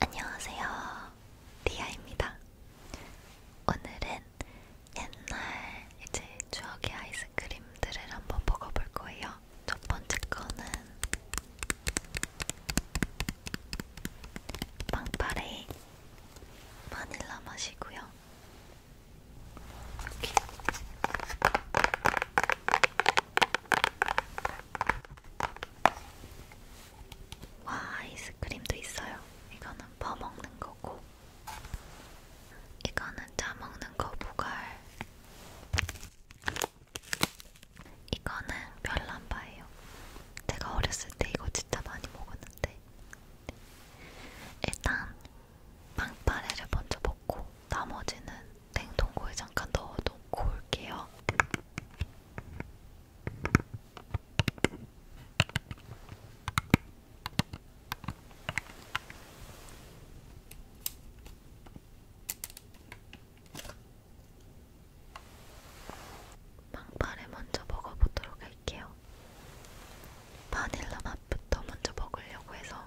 안녕하세요. 리아입니다. 오늘은 옛날 이제 추억의 아이스크림들을 한번 먹어볼 거예요. 첫 번째 거는 빵파레 바닐라 맛이고요. 여기 와 아이스크림도 있어요. 이거는 퍼먹는 거고 이거는 짜먹는 거부갈 이거는 별난바예요. 제가 어렸을 때 이거 진짜 많이 먹었는데 일단 빵빠레를 먼저 먹고 나머지는 냉동고에 잠깐 넣어놓고 올게요. 망파를 먼저 먹어보도록 할게요. 바닐라 맛부터 먼저 먹으려고 해서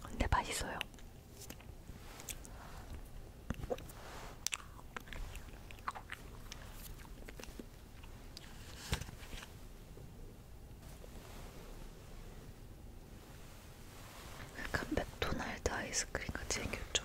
근데 맛있어요. 약간 그 맥도날드 아이스크림 같이 생겼죠?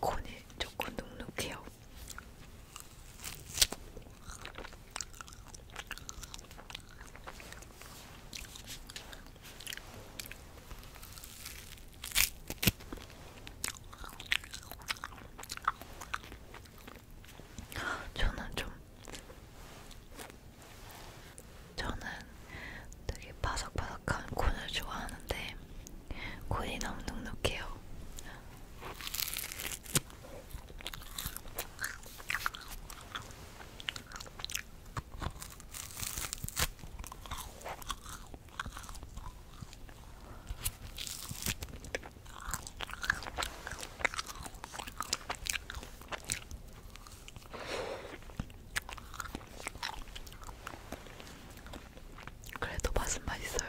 콘이 조금 눅눅해요. 저는 좀 저는 되게 바삭바삭한 콘을 좋아하는데 콘이 너무 눅눅해요. 그래도 맛은 맛있어요.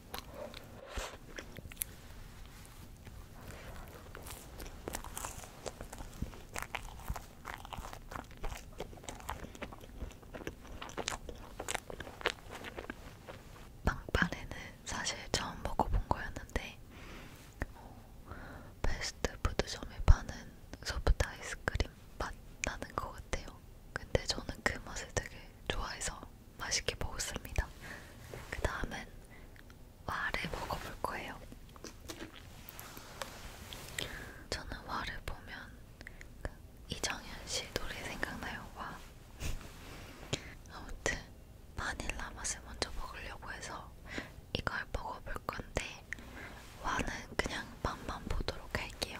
빵빠레는 사실 처음 먹어본 거였는데 어, 패스트푸드점에 파는 소프트 아이스크림 맛 나는 것 같아요. 근데 저는 그 맛을 되게 좋아해서 맛있게 먹었습니다. 그 다음은 와를 먹어볼 거예요. 저는 와를 보면 그 이정현 씨 노래 생각나요. 와. 아무튼 바닐라 맛을 먼저 먹으려고 해서 이걸 먹어볼 건데 와는 그냥 맛만 보도록 할게요.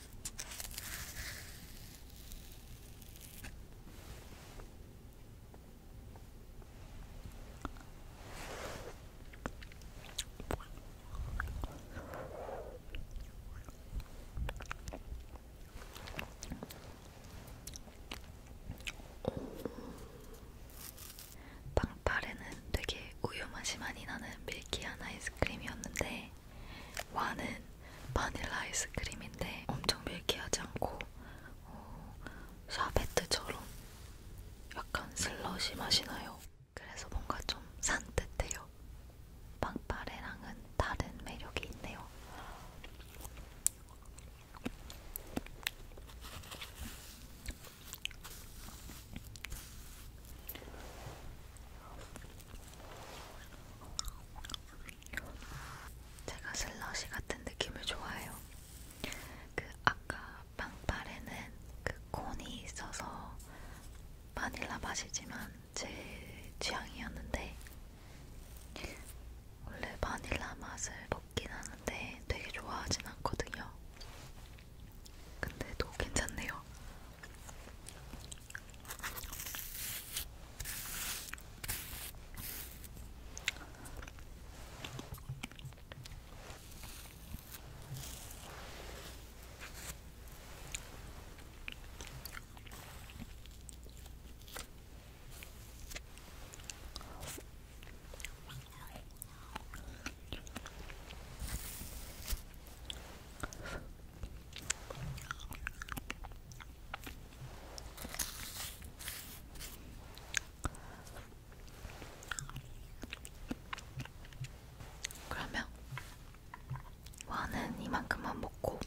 빵파레는 되게 우유 맛이 많이 나는 밀키한 아이스크림이었는데 와는 바닐라 아이스크림인데 엄청 밀키하지 않고 어, 샤베트처럼 약간 슬러시 맛이 나요. 그래서 뭔가 좀 산뜻해요. 빵빠레랑은 다른 매력이 있네요. 제가 슬러시 같은 느낌을 좋아해요. 그 아까 빵빨에는 그 콘이 있어서 바닐라 맛이지만 제 취향이었는데 원래 바닐라 맛을 먹긴 하는데 되게 좋아하진 않거든요. 근데도 괜찮네요. 그러면 와는 이만큼만 먹고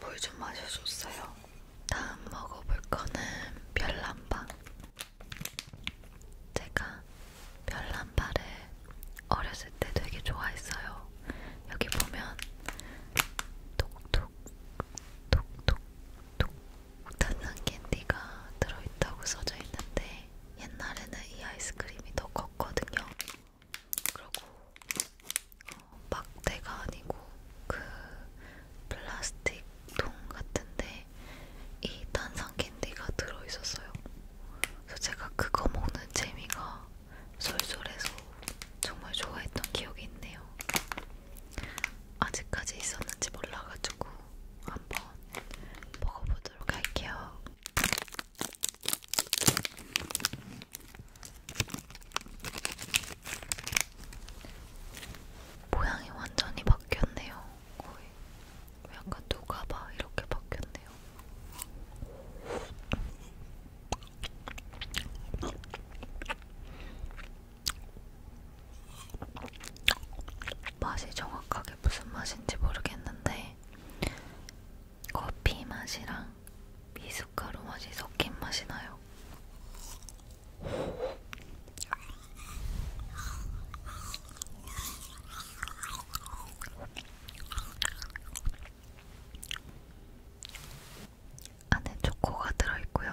물좀 마셔줬어요. 다음 먹어볼 거는 별난방. 제가 별난발을 어렸을 때 되게 좋아했어요. 여기 보면 톡톡 톡톡 톡 탄산 캔디가 들어있다고 써져 있는데 옛날에는 이 아이스크림이 더 컸거든요. 그리고 어, 막대가 아니고 그 플라스틱 통 같은데 이 탄산 캔디가 들어있었어요. 그래서 제가 그거 먹는 재미가 솔솔해서 정말 좋아했던 기억이 있네요. 아직까지 있었는지 몰라가지고 한번 먹어보자. 보도록 할게요. 모양이 완전히 바뀌었네요. 거의 약간 누가 봐 이렇게 바뀌었네요. 맛이 정확하게 무슨 맛인지 모르겠는데 커피 맛이랑 미숫가루 맛이 섞인 맛이 나요. 안에 초코가 들어있고요.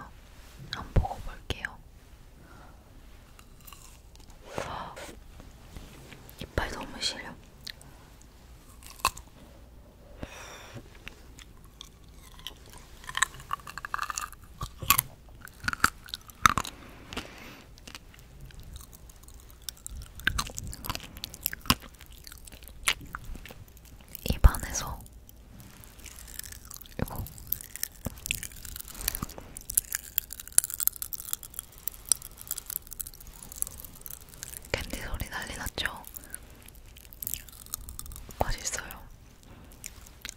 한번 먹어볼게요. 이빨 너무 시려. 입안에서 이거 캔디 소리 난리났죠? 맛있어요.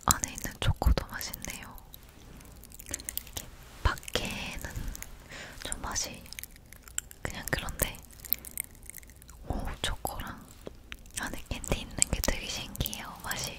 안에 있는 초코도 맛있네요. 밖에는 좀 맛이 그냥 그런데 오 초코랑 안에 캔디 있는 게 되게 신기해요, 맛이.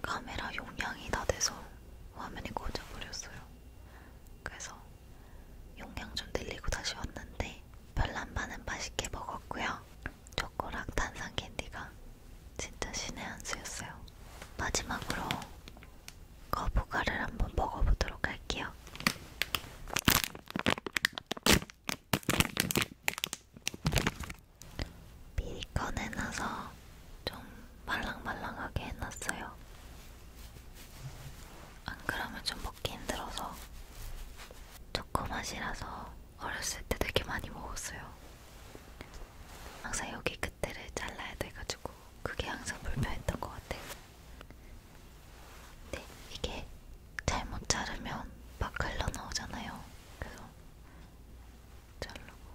카메라 용량이 다 돼서 화면이 꺼져버렸어요. 그래서 용량 좀 늘리고 다시 왔는데 별란반은 맛있게 먹었고요. 초코랑 탄산 캔디가 진짜 신의 한 수였어요. 마지막으로 거북아를 한번 먹어보도록 할게요. 미리 꺼내놔서 좀 말랑말랑하게 해놨어요. 안 그러면 좀 먹기 힘들어서 초코 맛이라서 어렸을 때 되게 많이 먹었어요. 항상 여기 끝에를 잘라야 돼가지고 그게 항상 불편했던 것 같아요. 근데 이게 잘못 자르면 막 흘러나오잖아요. 그래서 자르고.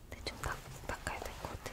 근데 네, 좀 바, 바꿔야 될 것 같아.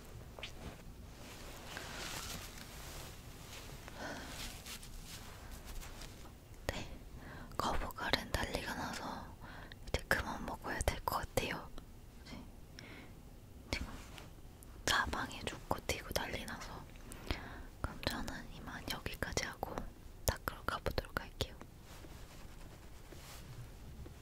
네, 거북알은 난리가 나서 이제 그만 먹어야 될 것 같아요. 네. 지금 네, 사방에 죽고 튀고 난리 나서 그럼 저는 이만 여기까지 하고 닦으러 가보도록 할게요.